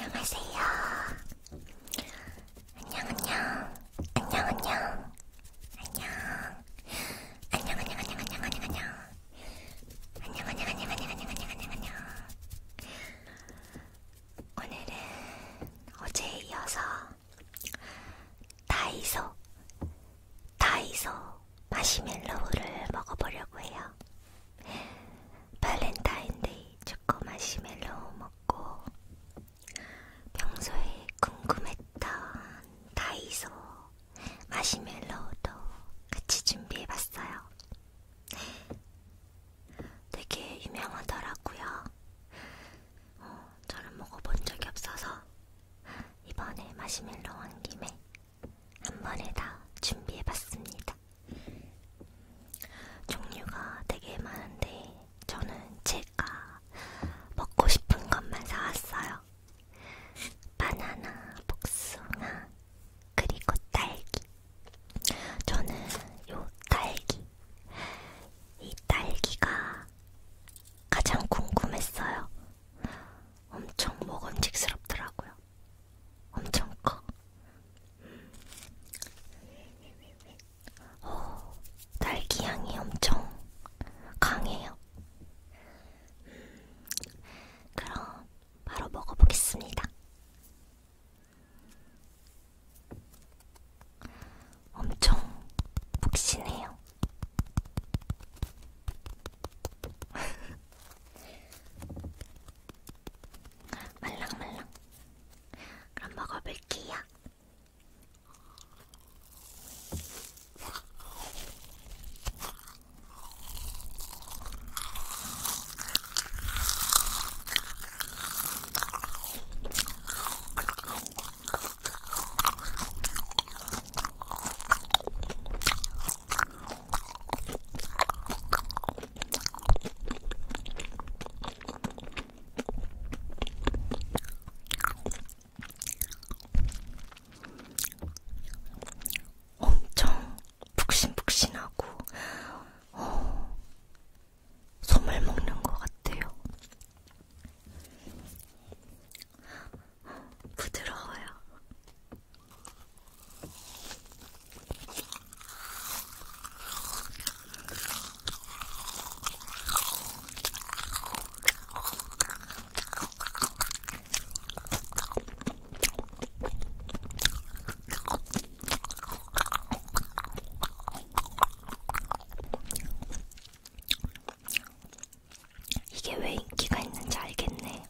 안녕하세요. 안녕 안녕 안녕 안녕 안녕 안녕 안녕 안녕 안녕 안녕 안녕 안녕 안녕 안녕 안녕 안녕 안녕 안녕 오늘은 어제에 이어서 다이소, 다이소 마시멜로우를 먹어보려고 해요. 발렌타인데이 초코 마시멜로우 먹고 평소에 궁금했던 다이소 마시멜로우도 같이 준비해봤어요. 되게 유명하더라고요. 어, 저는 먹어본 적이 없어서 이번에 마시멜로 온 김에 한 번에 다 준비해봤습니다. 종류가 되게 많은데 저는 제가 먹고 싶은 것만 사왔어요. 바나나, 복숭아, 그리고 딸기. 저는 요 딸기. 이 딸기가 가장 궁금했어요. 엄청 먹음직스럽더라고요. 엄청 커. 오, 어, 딸기 향이 엄청 강해요. 그럼 바로 먹어보겠습니다. 엄청 푹신해요. 말랑말랑. 그럼 먹어볼게요. 엄청 푹신푹신하고 어, 솜을 먹는 것 같아요. 부드러워요. 이게 왜 인기가 있는지 알겠네.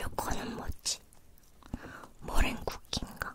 요거는 뭐지? 머랭쿠키인가?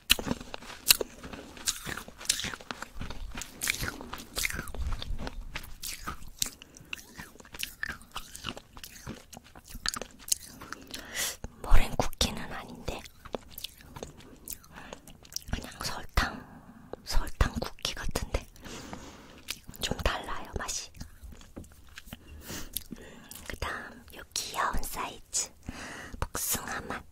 머랭 쿠키는 아닌데 그냥 설탕 설탕 쿠키 같은데 좀 달라요 맛이. 음, 그다음 요 귀여운 사이즈 복숭아 맛.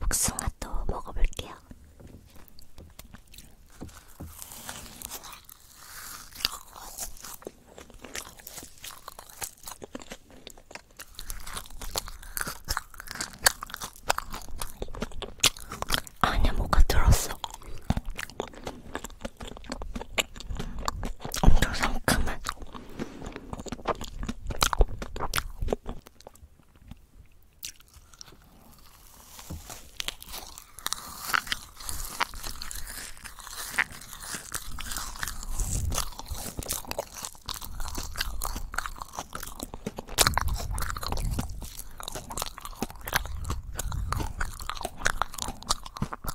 복숭아도 먹어볼게요. 아니야, 뭐가 들었어. 엄청 상큼한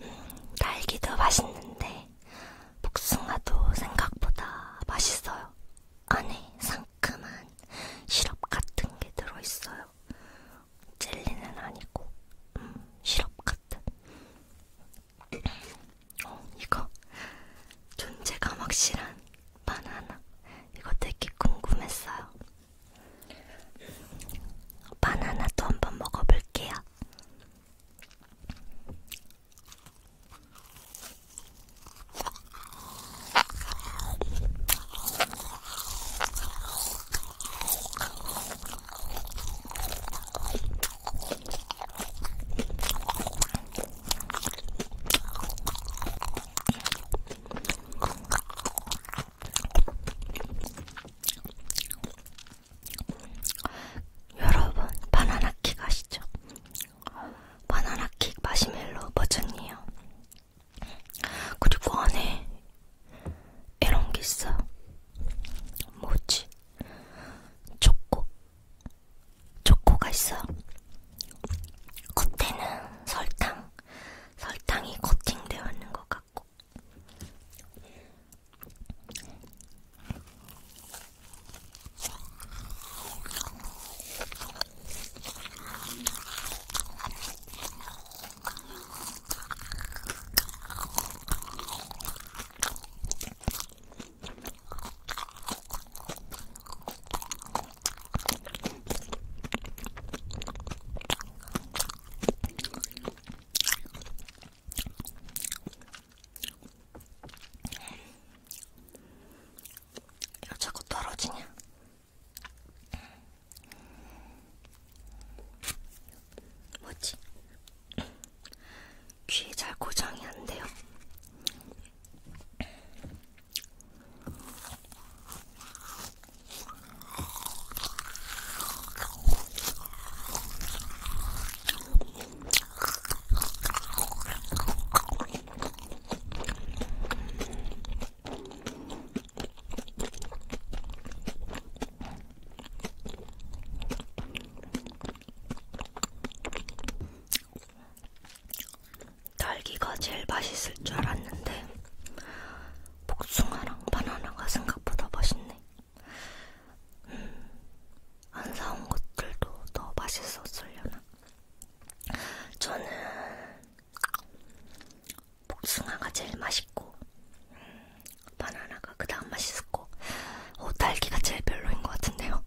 음, 딸기도 맛있는데 복숭아도 생각보다 맛있어요. 안에 상큼한 시럽 같은 게 들어있어요. 젤리는 아니고 음, 시럽 같은 어, 이거 존재감 확실한 바나나 이거 되게 궁금했어요. 바나나도 한번 먹어볼게요. 여러분 바나나킥 아시죠? 바나나킥 마시멜로 버전이에요. 그리고 안에 이런 게 있어. 뭐지? 초코. 초코가 있어. 겉에는 설탕. 설탕이 코팅되어 있는 것 같고. 이거 자꾸 떨어지냐? 뭐지? 귀에 잘 고정이 안 돼요. 딸기가 제일 맛있을 줄 알았는데 복숭아랑 바나나가 생각보다 맛있네. 음, 안 사온 것들도 더 맛있었으려나. 저는 복숭아가 제일 맛있고 음, 바나나가 그 다음 맛있고 오, 어, 딸기가 제일 별로인 것 같은데요.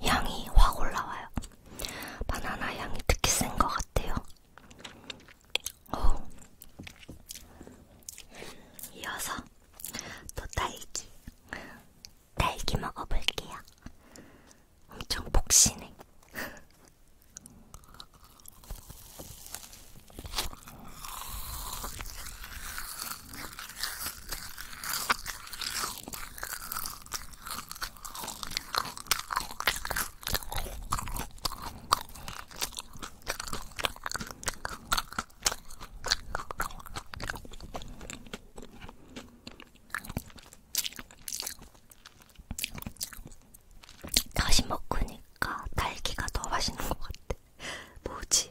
향이 확 올라와요. 바나나 향이 특히 센 것 같아요. 오. 이어서 또 딸기. 딸기 먹어볼게요. 엄청 폭신해. 다시 먹으니까 딸기가 더 맛있는 것 같아. 뭐지?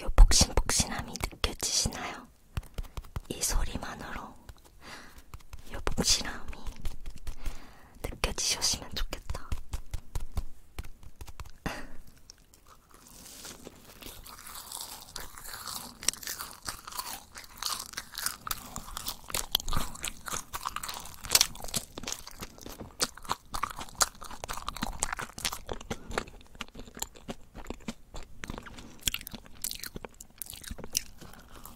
요 복신복신함이 느껴지시나요? 이 소리만으로 요 복신함이 느껴지셨으면 좋겠다.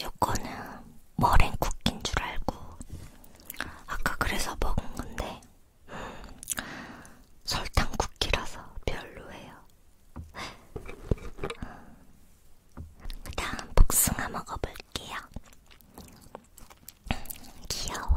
요거는 머랭 쿠키인 줄 알고 아까 그래서 먹은 건데 음, 설탕 쿠키라서 별로예요. 음, 그 다음 복숭아 먹어볼게요. 귀여워.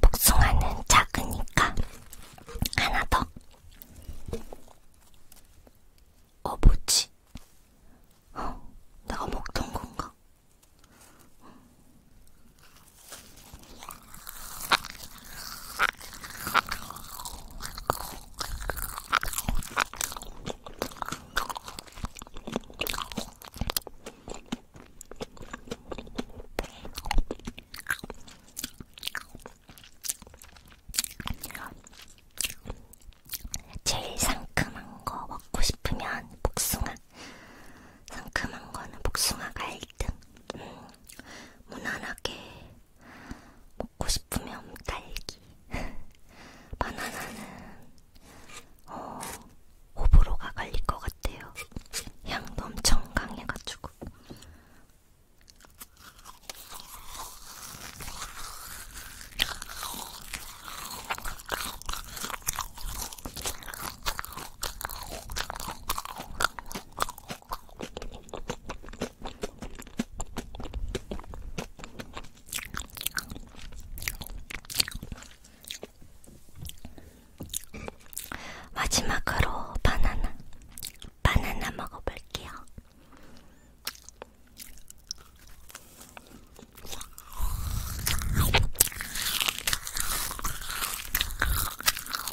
복숭아는 작으니까 하나 더. 어 뭐지? 어, 내가 먹던 건가? 제일 상큼한 거 먹고 싶으면 복숭아. 상큼한 거는 복숭아가 1등. 음. 무난하게 먹고 싶으면 딸기. 바나나는 어, 호불호가 갈릴 것 같아요. 향도 엄청 강해가지고. 마지막으로 바나나, 바나나 먹어볼게요.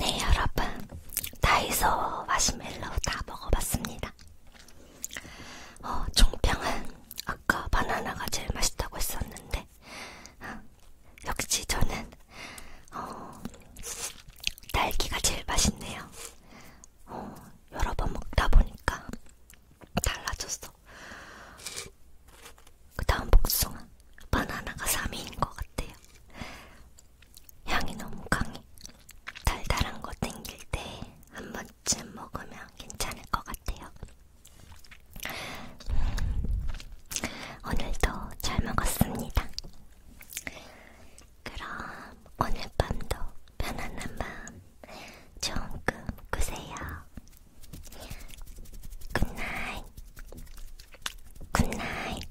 네, 여러분. 다이소 마시멜로우 다 먹어봤습니다. 어, 총평은 아까 바나나가 제일 맛있다고 했었는데, 어, 역시 저는 어, 딸기가 제일 맛있네요. 어, 여러 번 먹다 보니까 달라졌어. 그 다음 복숭아, 바나나가 3위인 것 같아요. 향이 너무 강해. 달달한 거 땡길 때 한 번쯤 먹으면 괜찮을 것 같아요. 오늘도 잘 먹었습니다. 그럼 오늘 밤도 편안한 밤 좋은 꿈 꾸세요. 굿나잇 굿나잇